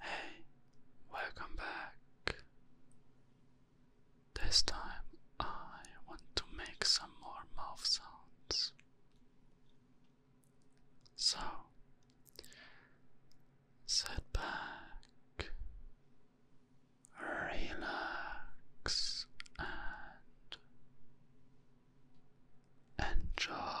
Hey, welcome back. This time I want to make some more mouth sounds. So, sit back, relax, and Enjoy.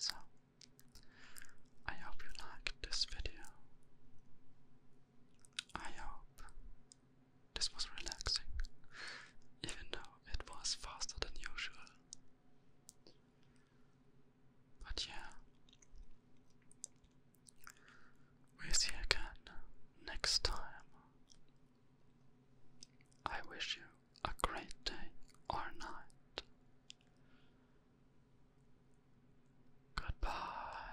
So, I hope you liked this video. I hope this was relaxing, even though it was faster than usual. But yeah, we'll see you again next time. I wish you a great day or night. Goodbye.